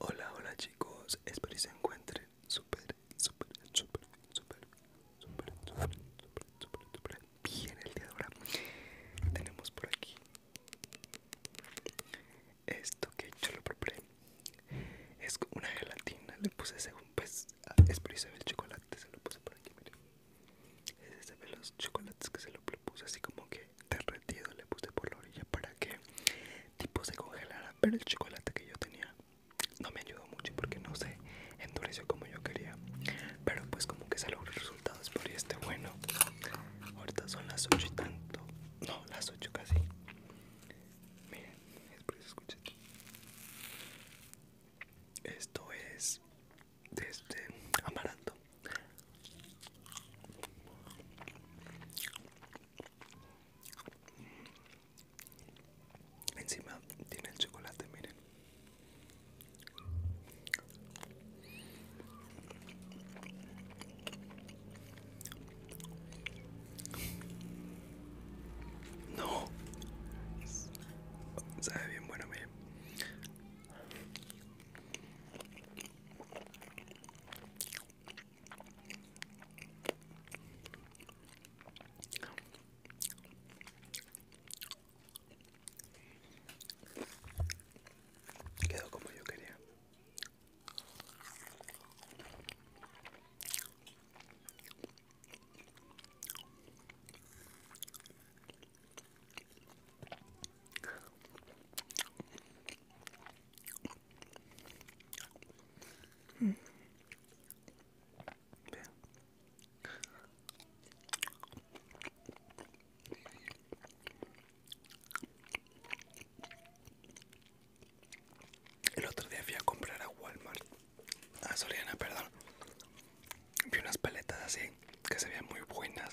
Hola, hola chicos, espero que se encuentren súper, súper, súper, súper, súper, súper, súper, súper bien el día de ahora. Tenemos por aquí esto que yo lo preparé. Es una gelatina, le puse según pues, espero que se ve el chocolate, se lo puse por aquí, miren. Se ve los chocolates que se lo puse así como que derretido le puse por la orilla para que tipo se congelara pero el chocolate que yo tenía no me ayudó mucho porque no se endureció como yo quería pero pues como que se logró resultados resultado por este bueno ahorita son las 8 y tanto no las 8 casi miren espero esto es de este amaranto Encima tiene el chocolate, miren. No. Sabe bien bueno, miren. Quedó como yo quería. El otro día fui a comprar a Walmart, a Soriana, perdón. Vi unas paletas así que se veían muy buenas.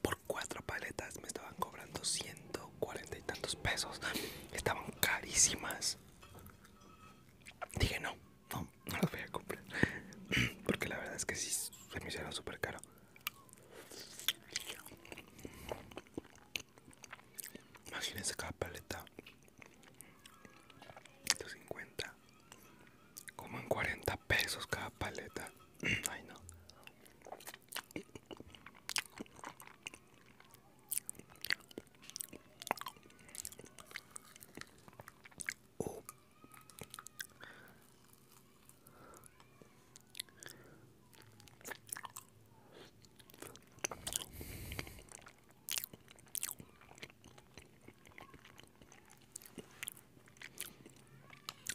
Por cuatro paletas me estaban cobrando 100 cuarenta y tantos pesos. Estaban carísimas. Dije, no, no, no las voy a comprar. Porque la verdad es que sí, se me hicieron súper caro. Imagínense cada paleta. 150. Como en 40 pesos cada paleta. Ay no.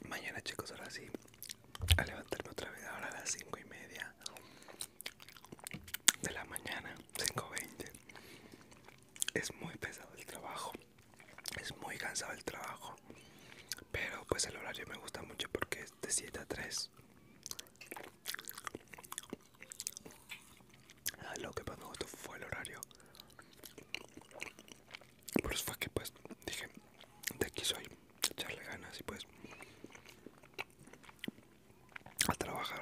Mañana chicos, ahora sí, a levantarme otra vez, ahora a las cinco y media de la mañana, 5.20. Es muy pesado el trabajo, es muy cansado el trabajo, pero pues el horario me gusta mucho porque es de 7 a 3. Ah, lo que pasó me gustó fue el horario. Por eso fue que pues dije, de aquí soy, echarle ganas y pues a trabajar.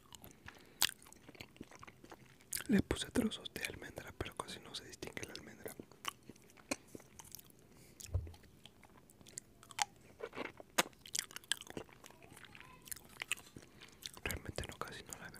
Le puse trozos de almendra, pero casi no se distingue la almendra. Realmente no, casi no la veo.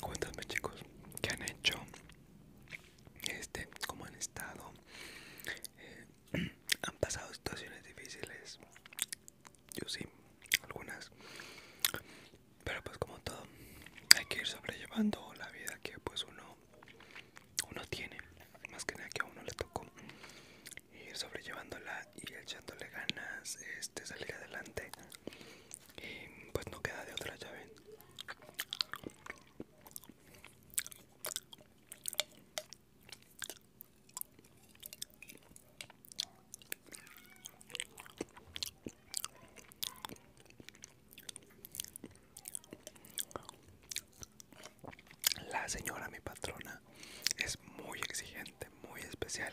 Cuéntame chicos, ¿qué han hecho? Este, ¿cómo han estado? Eh, ¿Han pasado situaciones difíciles? yo sí, algunas. Pero pues como todo, hay que ir sobrellevando la vida que pues uno, uno tiene. Más que nada que a uno le tocó ir sobrellevándola y echándole ganas, este salir adelante. Y pues no queda de otra llave. La señora, mi patrona, es muy exigente, muy especial.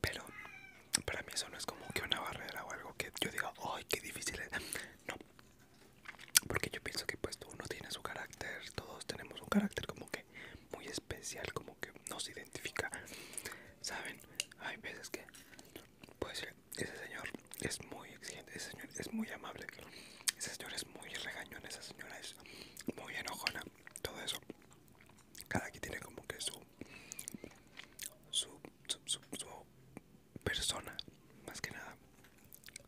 Pero para mí eso no es como que una barrera o algo que yo diga, ¡ay, qué difícil es! No. Porque yo pienso que pues uno tiene su carácter, todos tenemos un carácter como que muy especial, como que nos identifica. Saben, hay veces que puede ese señor es muy exigente, ese señor es muy amable, ese señor es muy regañón, esa señora es muy enojona, todo eso. Cada quien tiene como que su su, su, persona, más que nada,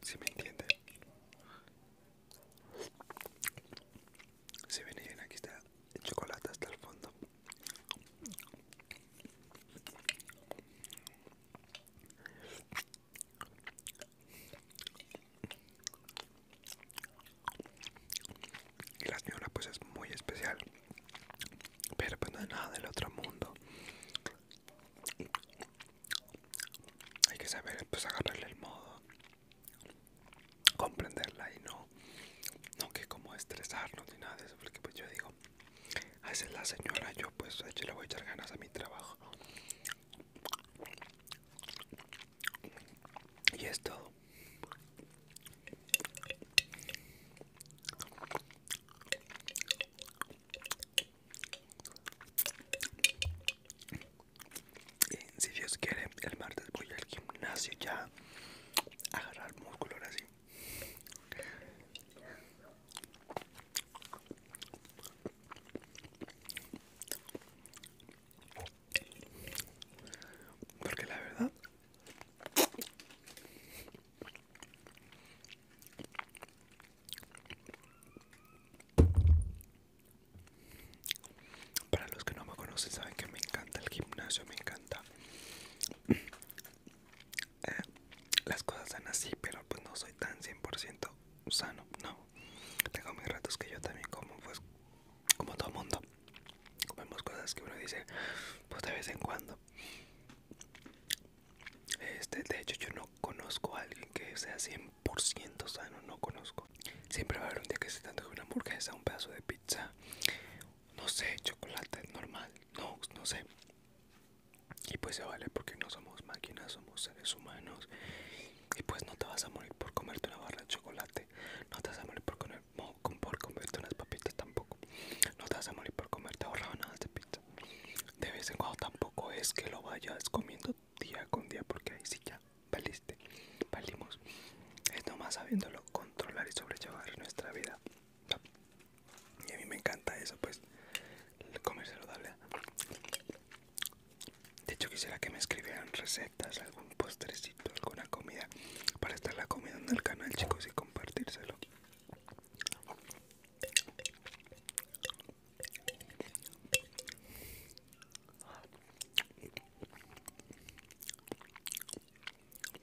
si me entienden. Si ven, aquí está el chocolate hasta el fondo. Y la señora pues es muy especial. Pero pues no es nada del otro mundo. Hay que saber pues agarrarle el modo comprenderla y no, no que como estresarnos ni nada de eso, porque pues yo digo, esa es la señora, yo pues yo le voy a echar ganas a mi trabajo. Y es todo. Y si Dios quiere, el martes voy al gimnasio ya agarrar músculo así Porque la verdad para los que no me conocen saben que me encanta el gimnasio, me encanta eh, las cosas están así, pero pues no soy tan 100% sano, no. Tengo mis ratos que yo también como, pues como todo mundo. Comemos cosas que uno dice, pues de vez en cuando. Este, de hecho yo no conozco a alguien que sea 100% sano, no conozco. Siempre va a haber un día que se te antoje una hamburguesa, un pedazo de pizza, no sé, chocolate normal, no, no sé. Y pues se vale porque no somos máquinas, somos seres humanos. Y pues no te vas a morir por comerte una barra de chocolate, no te vas a morir por, comer, por comerte unas papitas tampoco, no te vas a morir por comerte nada de pizza. De vez en cuando tampoco es que lo vayas comiendo día con día porque ahí sí ya valiste, valimos. Es nomás sabiéndolo controlar y sobrellevar nuestra vida. Y a mí me encanta eso, pues, el comer saludable. De hecho, quisiera que me escribieran recetas, algún postrecito, alguna comida para estar la comida en el canal, chicos, y compartírselo.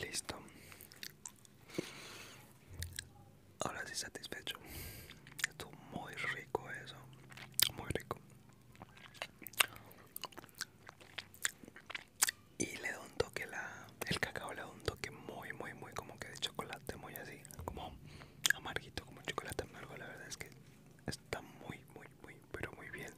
Listo. Ahora sí satisfecho. Estuvo muy rico eso. Muy rico y le doy un toque la el cacao le doy un toque muy muy muy como que de chocolate muy así como amarguito como chocolate amargo la verdad es que está muy muy muy pero muy bien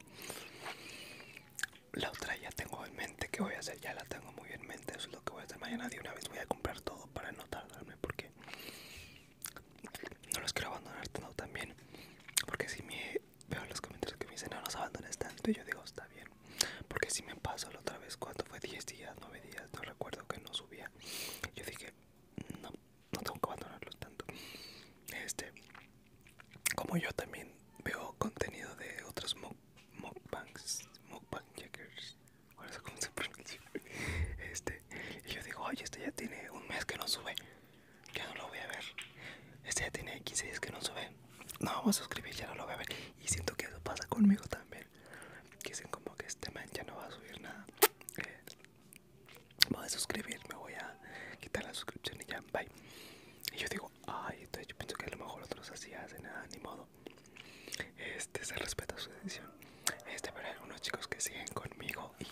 la otra ya tengo en mente que voy a hacer ya la tengo muy bien en mente eso es lo que voy a hacer mañana de una vez voy a comprar todo para no tardarme porque no los quiero abandonar tanto también porque si me veo los comentarios que me dicen no los abandones tanto y yo digo está bien porque si me pasó la otra vez cuando fue 10 días 9 días no recuerdo que no subía yo dije no no tengo que abandonarlos tanto este como yo también veo contenido de otros mukbangs mukbang checkers o eso como se este y yo digo oye este ya tiene un mes que no sube ya no lo voy a ver este ya tiene 15 días que no sube no vamos a suscribir ya no lo voy a ver y siento que eso pasa conmigo también que dicen como que este man ya no va a subir nada va eh, voy a suscribir me voy a quitar la suscripción y ya bye y yo digo ay entonces yo pienso que a lo mejor otros así hacen nada ni modo este se respeta su decisión este para algunos chicos que siguen conmigo y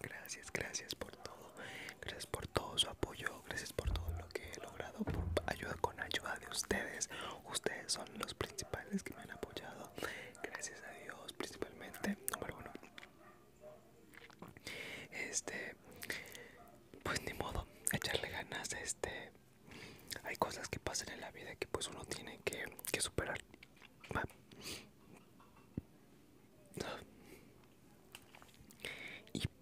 gracias gracias por todo gracias por todo su apoyo gracias por todo que he logrado por ayuda con ayuda de ustedes. Ustedes son los principales que me han apoyado. Gracias a Dios, principalmente. Número uno. Este, pues ni modo, echarle ganas. Este, hay cosas que pasan en la vida que pues uno tiene que, superar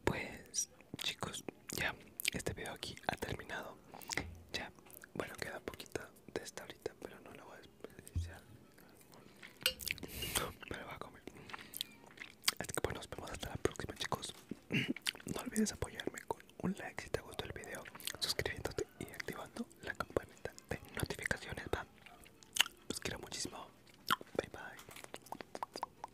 pues chicos ya este video aquí ha terminado ya bueno queda poquito de esta ahorita pero no la voy a me lo voy a comer así que pues nos vemos hasta la próxima chicos no olvides apoyarme con un like si te gustó el video suscribiéndote y activando la campanita de notificaciones va los quiero muchísimo bye bye